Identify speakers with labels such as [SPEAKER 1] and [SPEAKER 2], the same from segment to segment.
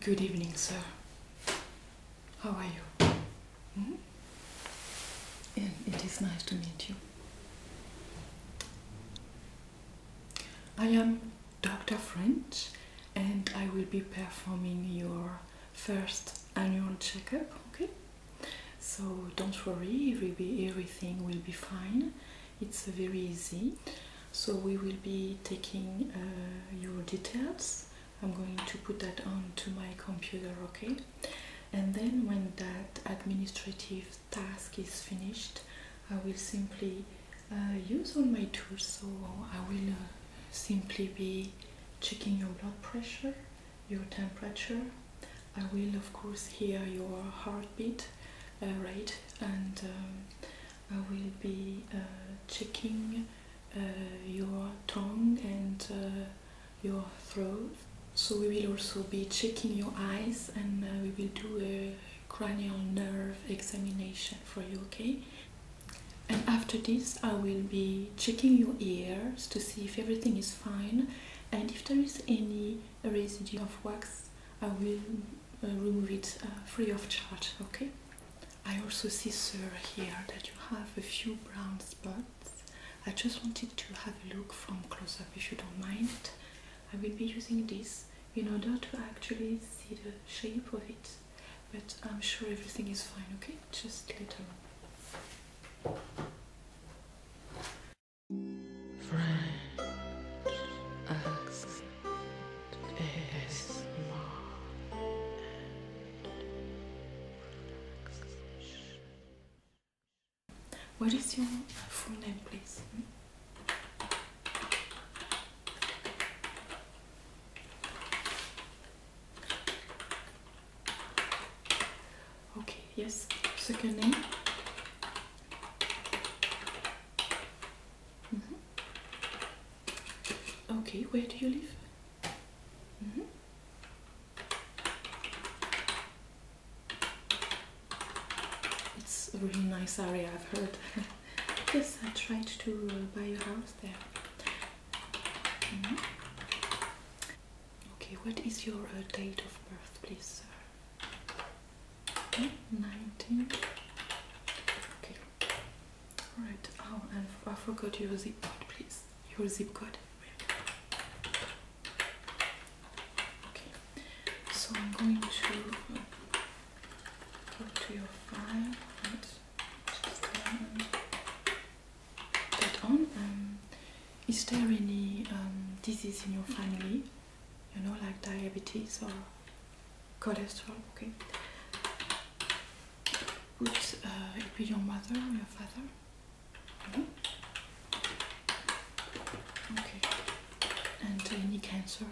[SPEAKER 1] Good evening, sir. How are you? Hmm? it is nice to meet you. I am Dr. French and I will be performing your first annual checkup, okay? So don't worry, everything will be fine it's very easy so we will be taking uh, your details i'm going to put that on to my computer okay and then when that administrative task is finished i will simply uh, use all my tools so i will uh, simply be checking your blood pressure your temperature i will of course hear your heartbeat rate and um, I will be uh, checking uh, your tongue and uh, your throat. So we will also be checking your eyes and we will do a cranial nerve examination for you, okay? And after this, I will be checking your ears to see if everything is fine and if there is any residue of wax I will uh, remove it uh, free of charge, okay? I also see, sir, here that you have a few brown spots. I just wanted to have a look from close up if you don't mind. I will be using this in order to actually see the shape of it, but I'm sure everything is fine, okay? Just later on. Friend what is your full name, please? Okay, yes, second name. Mm-hmm. Okay, where do you live? Mm-hmm. It's a really nice area, I've heard. yes, I tried to uh, buy a house there. Mm-hmm. Okay, what is your uh, date of birth, please, sir? Okay, hmm, 19. Okay. Alright. Oh, and I forgot your zip code, please. Your zip code. Okay. So I'm going to go to your file and just um, that on. Um, is there any um, disease in your family? You know, like diabetes or cholesterol, okay? Put, uh, it be your mother or your father. Mm-hmm. Okay. And uh, any cancer?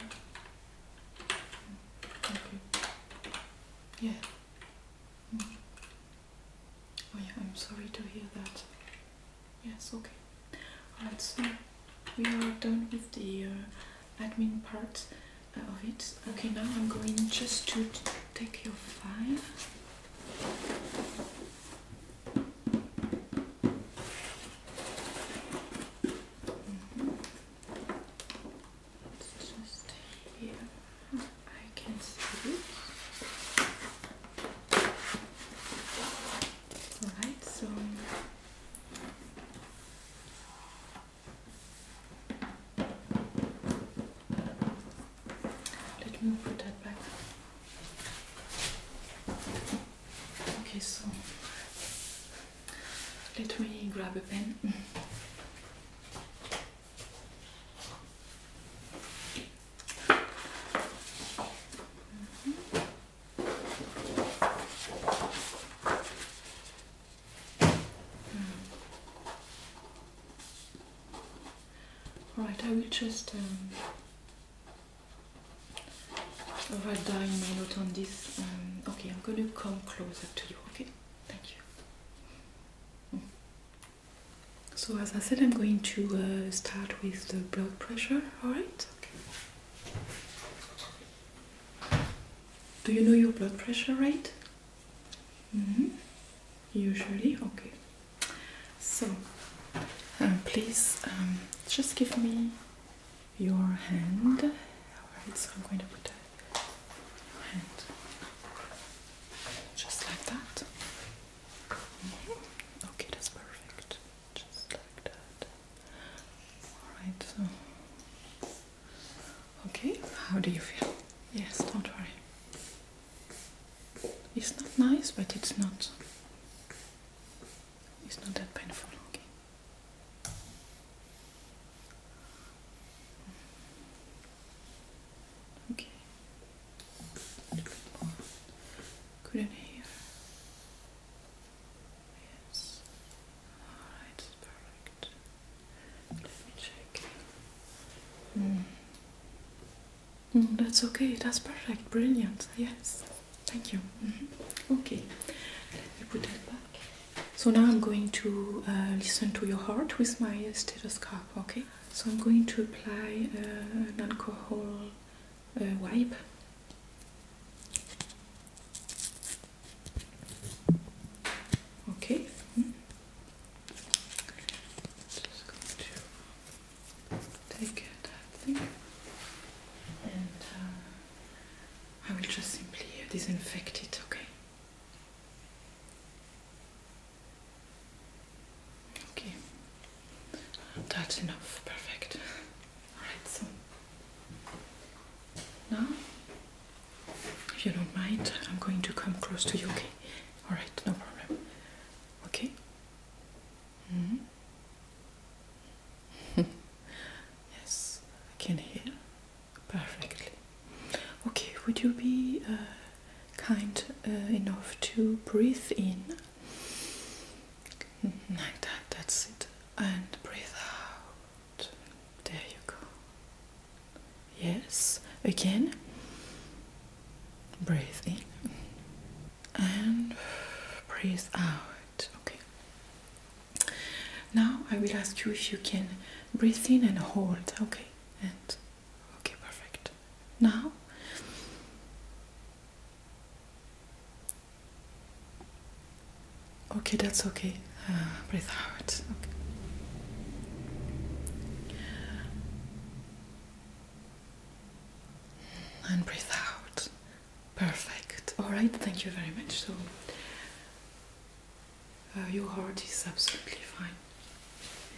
[SPEAKER 1] Okay. Yeah. Mm-hmm. Oh yeah, I'm sorry to hear that. Yes, okay. Alright, we are done with the uh, admin part uh, of it. Okay, now I'm going just to take your file. Mm -hmm. just here. I can see it. Alright, so let me put that back. Okay, so let me grab a pen. Mm-hmm. All hmm. right. I will just um, write down my note on this. Um, okay, I'm going to come closer to you, okay? Thank you. Hmm. So as I said, I'm going to uh, start with the blood pressure, alright? Okay. Do you know your blood pressure rate? Mm-hmm. Usually, okay. So, um, please um, just give me your hand. Alright, so I'm going to put a hand just like that. Mm Okay, that's perfect just like that. Alright, so. Okay, how do you feel? Yes, don't worry. It's not nice, but it's not. It's not that painful, okay? Okay. Couldn't hear. Yes. Alright, perfect. Let me check. Mm. that's okay, that's perfect, brilliant, yes. Thank you. Mm-hmm. Okay, let me put that back. So now I'm going to uh, listen to your heart with my uh, stethoscope, okay? So I'm going to apply uh, an alcohol uh, wipe. Okay. Hmm. Just going to take that thing, and uh, I will just simply disinfect it. Okay. Okay. That's enough. Perfect. Alright, so now, if you don't mind, I'm going to come close to you, okay? Alright, no problem. Okay? Mm-hmm. yes, I can hear perfectly. Okay, would you be uh, kind uh, enough to breathe in? Like that, that's it. And breathe out. There you go. Yes, again. Breathe in and breathe out. Okay. Now I will ask you if you can breathe in and hold. Okay. And okay, perfect. Now Okay, that's okay. breathe out. Okay. And breathe out. Perfect. All right, thank you very much. So, uh, your heart is absolutely fine.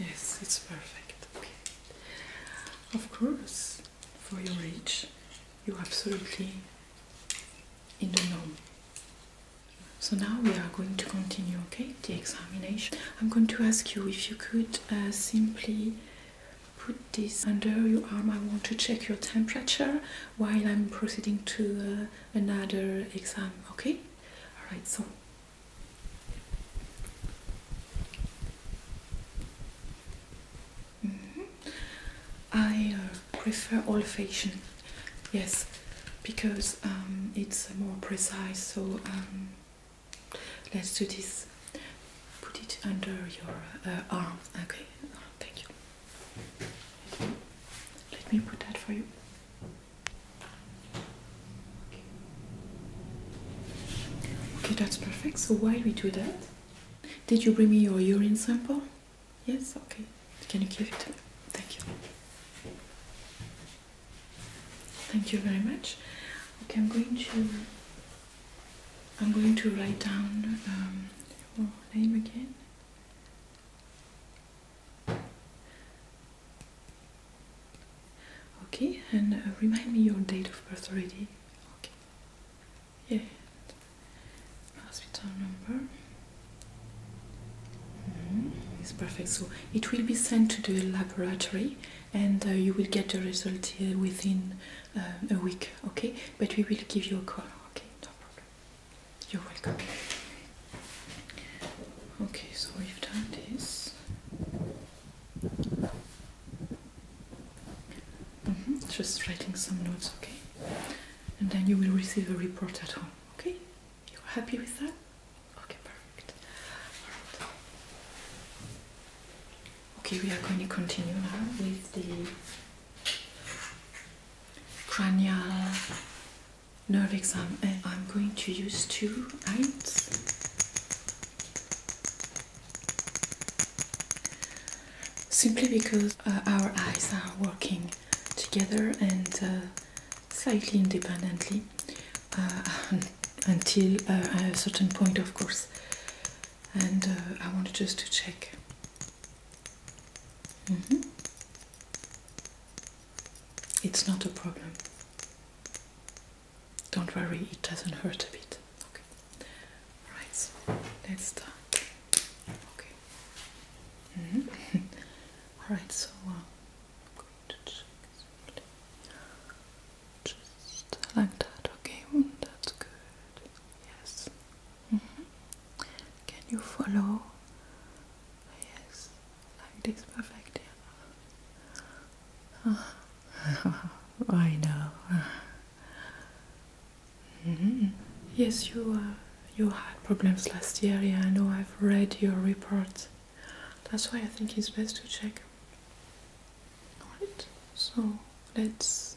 [SPEAKER 1] Yes, it's perfect. Okay. Of course, for your age, you absolutely in the norm. So now we are going to continue, okay, the examination. I'm going to ask you if you could uh, simply put this under your arm. I want to check your temperature while I'm proceeding to uh, another exam, okay? Alright, so Mm-hmm. I uh, prefer old fashioned, yes, because um, it's more precise. So um, let's do this. Put it under your uh, arm. Okay, thank you. Let me put that for you. Okay, that's perfect. So while we do that, did you bring me your urine sample? Yes, okay. Can you give it to me? Thank you. Thank you very much. Okay, I'm going to I'm going to write down um, your name again. Okay, and uh, remind me your date of birth already. Okay yeah hospital number mm-hmm. it's perfect. So it will be sent to the laboratory, and uh, you will get the result uh, within uh, a week. Okay, but we will give you a call. Okay, no problem. You're welcome. Okay, so we've done this. Mm-hmm. Just writing some notes. Okay and then you will receive a report at home. Okay? You're happy with that? Okay, perfect. Okay, we are going to continue now with the cranial nerve exam, and I'm going to use two eyes simply because uh, our eyes are working together and uh, slightly independently uh, until a certain point, of course. And I wanted just to check. Mm-hmm. It's not a problem. Don't worry, it doesn't hurt a bit. Okay. Right, so let's start. Okay. Mm-hmm. All right, so uh, I'm going to check just like that. Okay, mm, that's good. Yes. Mm-hmm. Can you follow? Yes, like this, perfect. Yeah. I know. Mm-hmm. Yes, you uh, you had problems last year. Yeah, I know. I've read your report. That's why I think it's best to check. Alright. So let's.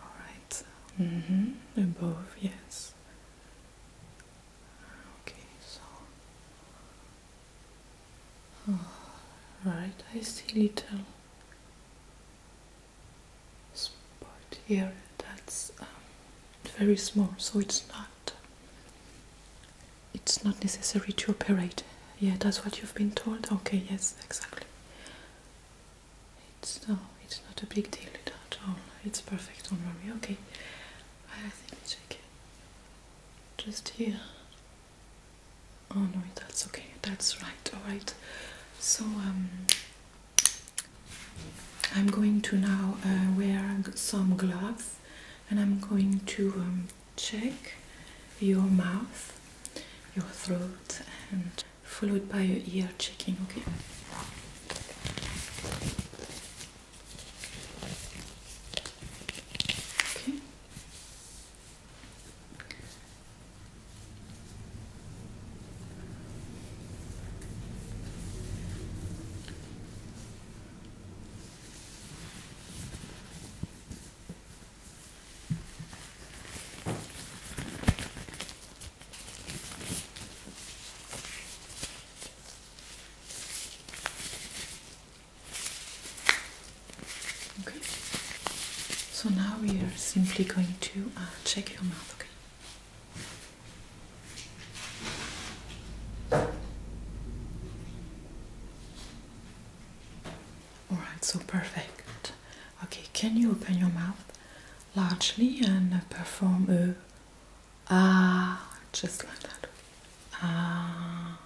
[SPEAKER 1] Alright. Mm -hmm. Above. Yes. Okay. So. Oh, right. I see little spot here that's um, very small so it's not it's not necessary to operate yeah that's what you've been told okay yes exactly it's no it's not a big deal at all it's perfect don't okay I think it's okay just here oh no that's okay that's right all right so um, I'm going to now uh, wear some gloves and I'm going to um, check your mouth, your throat, and followed by your ear checking, okay? Okay. Okay, so now we are simply going to uh, check your mouth. All right, so perfect. Okay, can you open your mouth largely and perform a ah just like that? Ah.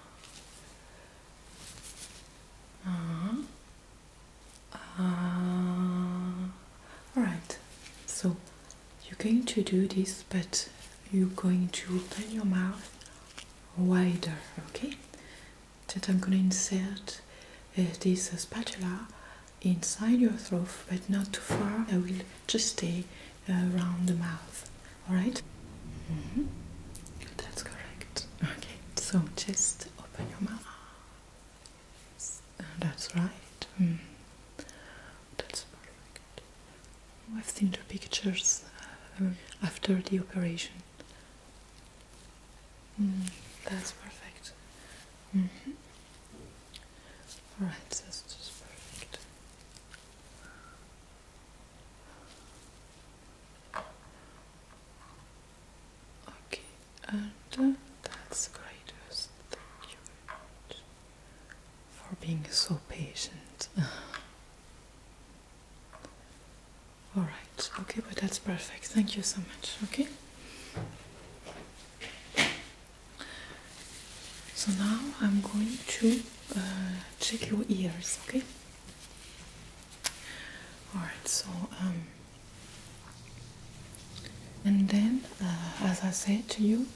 [SPEAKER 1] Ah. Uh, alright, so you're going to do this, but you're going to open your mouth wider, okay? That I'm going to insert uh, this spatula inside your throat, but not too far. I will just stay around the mouth, alright? Mm -hmm. That's correct. Okay, so just open your mouth. That's right. Hmm. That's very good. Oh, I've seen the pictures uh, after the operation. Hmm, that's perfect. Mm mm-hmm. Alright, that's just perfect. Okay, and uh, that's greatest. Thank you very much for being so patient. Alright, okay, but that's perfect. Thank you so much. Okay. So now I'm going to uh, check your ears, okay? Alright, so um, and then uh, as I said to you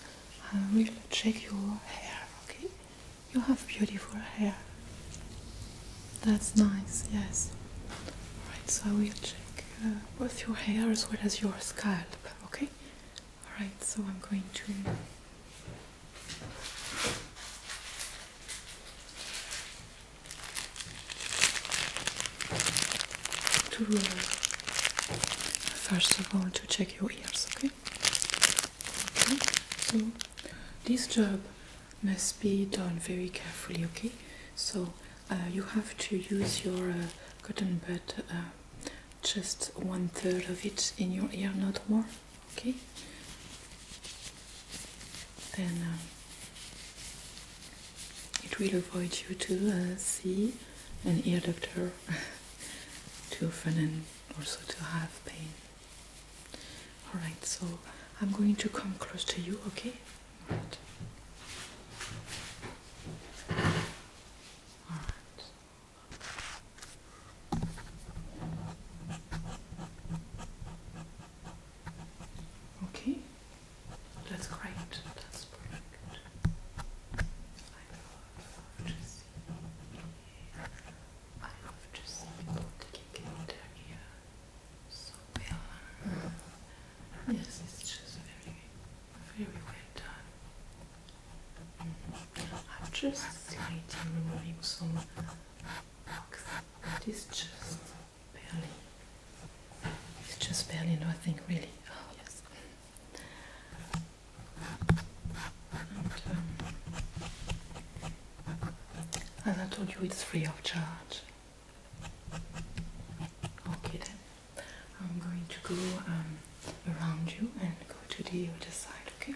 [SPEAKER 1] I will check your hair okay you have beautiful hair that's nice yes alright so I will check uh, both your hair as well as your scalp okay alright so I'm going to uh, first of all to check your ears okay so this job must be done very carefully okay so uh, you have to use your uh, cotton bud just one third of it in your ear not more okay and it will avoid you to uh, see an ear doctor too often and also to have pain. Alright, so I'm going to come close to you, okay? Alright. Okay, that's great. I love to see. I love to see people taking so well. Yes, it's just very, very well I'm just waiting, removing some box. It is just barely. It's just barely nothing, really. Oh, yes. Um, and, I told you, it's free of charge. Okay, then I'm going to go um, around you and go to the other side, okay?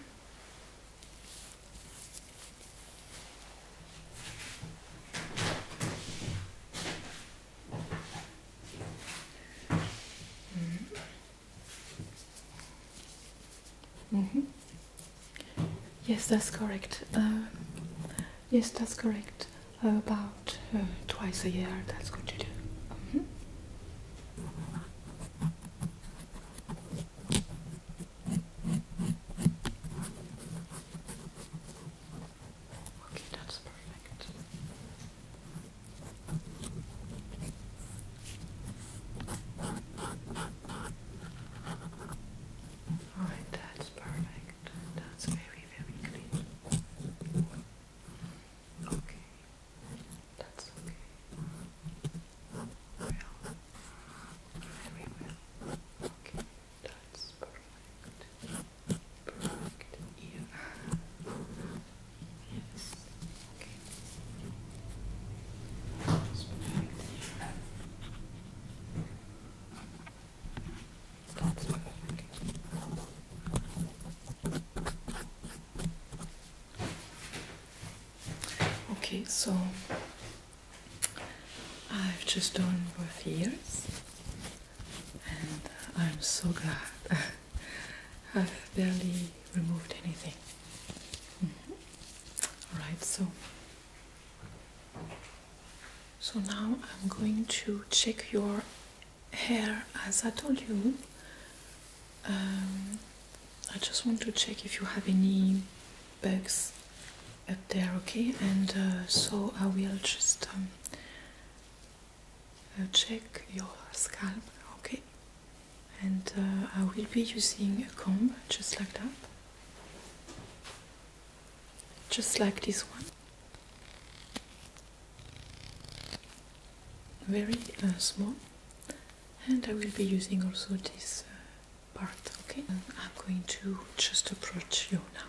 [SPEAKER 1] Mm -hmm. Yes, that's correct. Uh, yes, that's correct. about uh, twice a year, that's good to do. Mm-hmm. Okay, that's perfect. Alright, that's perfect. That's very, very clean. Okay, that's okay. Well, very well. Okay. That's perfect. Perfect. Yes. Okay. perfect. Okay, so I've just done both ears, and I'm so glad I've barely removed anything. Mm Alright, so so now I'm going to check your hair as I told you. Um, I just want to check if you have any bugs up there okay and uh, so I will just um, uh, check your scalp okay and uh, I will be using a comb just like that just like this one very small and I will be using also this part okay and I'm going to just approach you now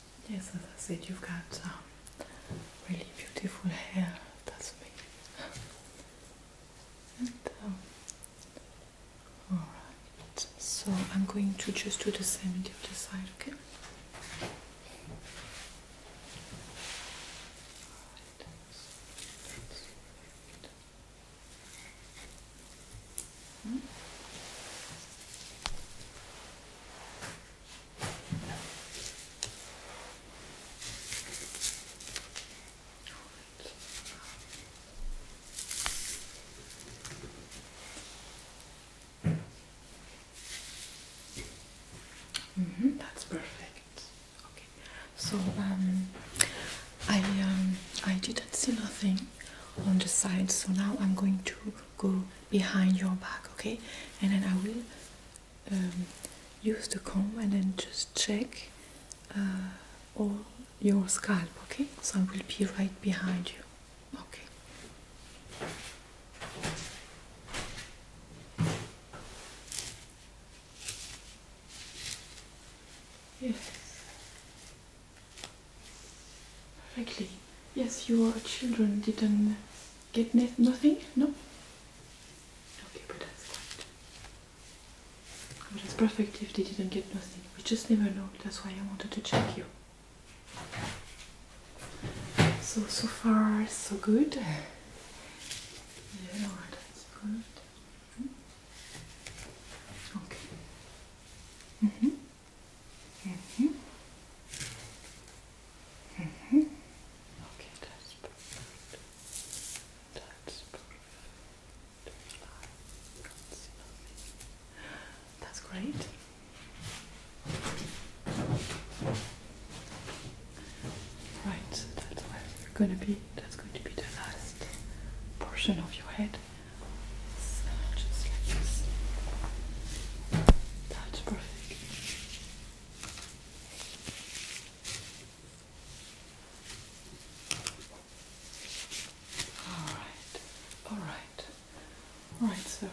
[SPEAKER 1] Yes, as I said, you've got um, really beautiful hair. That's me. Um, all right. So I'm going to just do the same on the other side, okay? Mm -hmm, that's perfect. Okay, so um, I um, I didn't see nothing on the side, so now I'm going to go behind your back okay and then I will um, use the comb and then just check uh, all your scalp okay so I will be right behind you okay yes perfectly Yes, your children didn't get nothing? No? Okay, but that's fine. But it's perfect if they didn't get nothing. We just never know. That's why I wanted to check you. So, so far, so good. Yeah, that's good. Hmm? Okay. Mm -hmm. Mm -hmm. Mm -hmm. Okay, that's perfect. That's perfect. That's, great. Right, so that's gonna be. That's going to be the last portion of your head. just like this. That's perfect. All right, all right, all right, so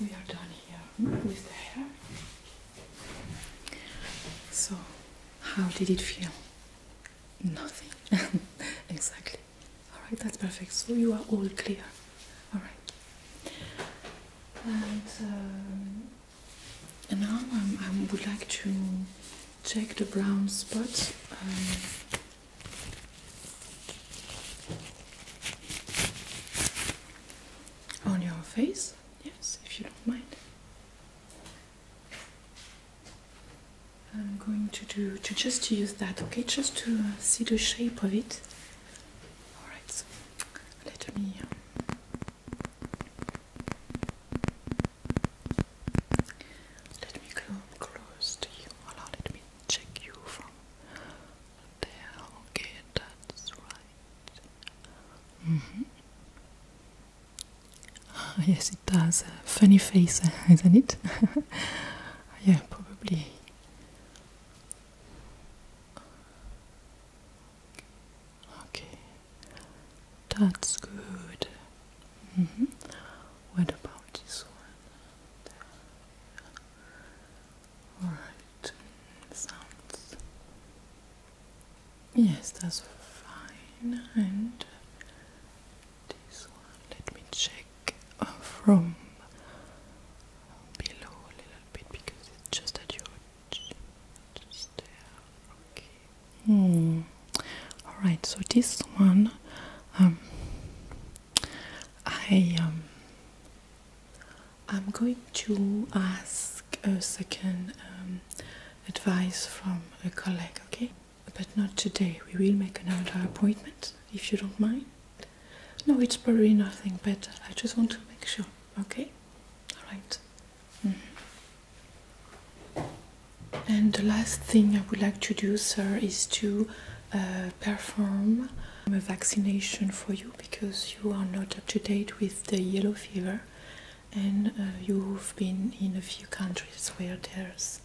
[SPEAKER 1] we are done here with hair. So, how did it feel? Nothing. exactly. All right, that's perfect. So you are all clear. All right. Um, and now I would like to check the brown spot um, on your face, yes, if you don't mind. I'm going to do to just use that, okay, just to uh, see the shape of it. Alright, let me um, let me come close to you. Well, me check you from there. Okay, that's right. Mm-hmm. Yes, it does. Funny face, isn't it? yeah, probably. Okay, that's good. Mm -hmm. What about this one? Alright, sounds. Yes, that's fine. And this one, let me check uh, from below a little bit because it's just at your just there. Okay. Hmm. All right. So this one, um, I um, I'm going to ask a second um, advice from a colleague. Okay, but not today. We will make another appointment if you don't mind. No, it's probably nothing, but I just want to make sure. Okay? Alright. Mm-hmm. And the last thing I would like to do, sir, is to uh, perform a vaccination for you because you are not up to date with the yellow fever and uh, you've been in a few countries where there's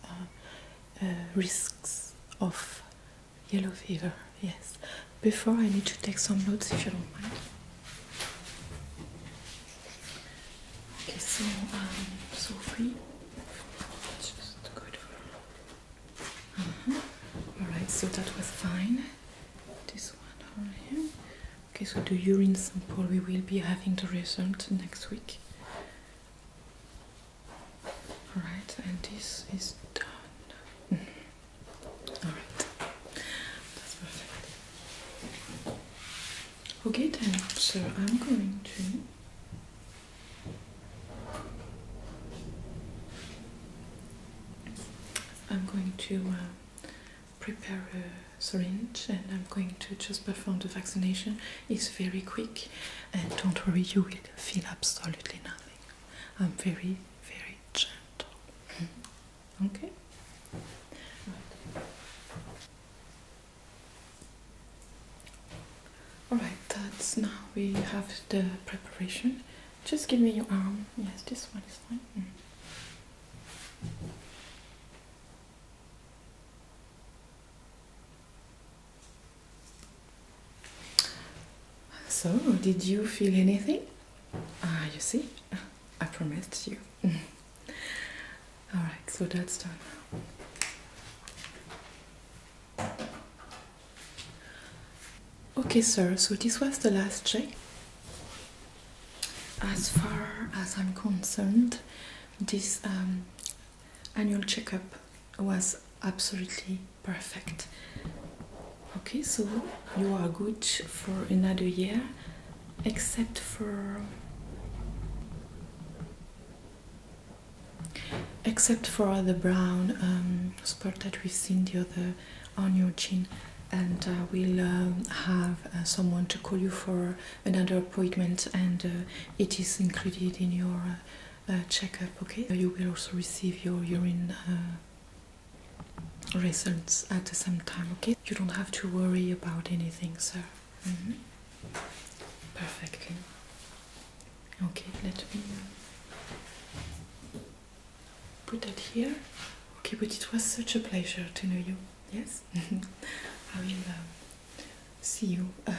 [SPEAKER 1] uh, risks of Yellow fever, yes. Before I need to take some notes if you don't mind. Okay, so um, just good. Mm-hmm. All right, so that was fine. This one over here. Okay, so the urine sample, we will be having the result next week. All right, and this is done. Mm-hmm. Okay then, so I'm going to. I'm going to uh, prepare a syringe and I'm going to just perform the vaccination. It's very quick and don't worry, you will feel absolutely nothing. I'm very, very gentle. Okay. All right. That's now we have the preparation. Just give me your arm. Yes, this one is fine. Mm. So, did you feel anything? Ah, you see, I promised you. Alright, so that's done Okay, sir, so this was the last check. As far as I'm concerned, this um, annual checkup was absolutely perfect. Okay, so you are good for another year, except for except for the brown um, spot that we've seen the other on your chin and uh, we'll uh, have uh, someone to call you for another appointment and it is included in your checkup okay you will also receive your urine results at the same time, okay? You don't have to worry about anything, sir. Mm Perfectly. Okay, let me uh, put that here. Okay, but it was such a pleasure to know you. Yes? I will uh, see you uh,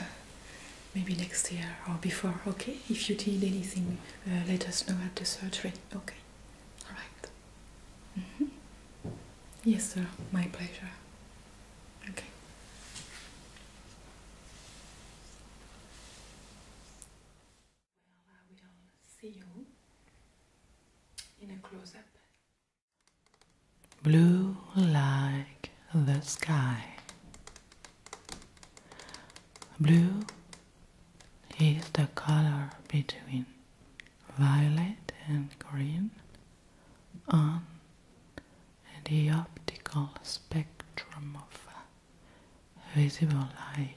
[SPEAKER 1] maybe next year or before, okay? If you need anything uh, let us know at the surgery. Okay, all right. Mm-hmm. Yes, sir, my pleasure. Okay. Well, I will see you in a close up. Blue like the sky. Blue is the color between violet and green on the optical spectrum of visible light.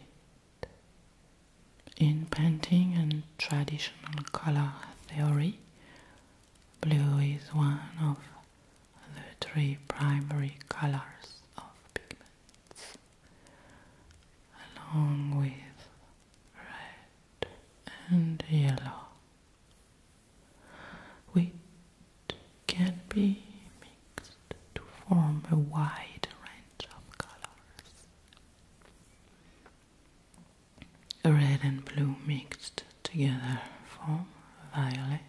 [SPEAKER 1] In painting and traditional color theory, blue is one of the three primary colors of pigments along with red and yellow, which can be mixed to form a wide range of colors. Red and blue mixed together form violet.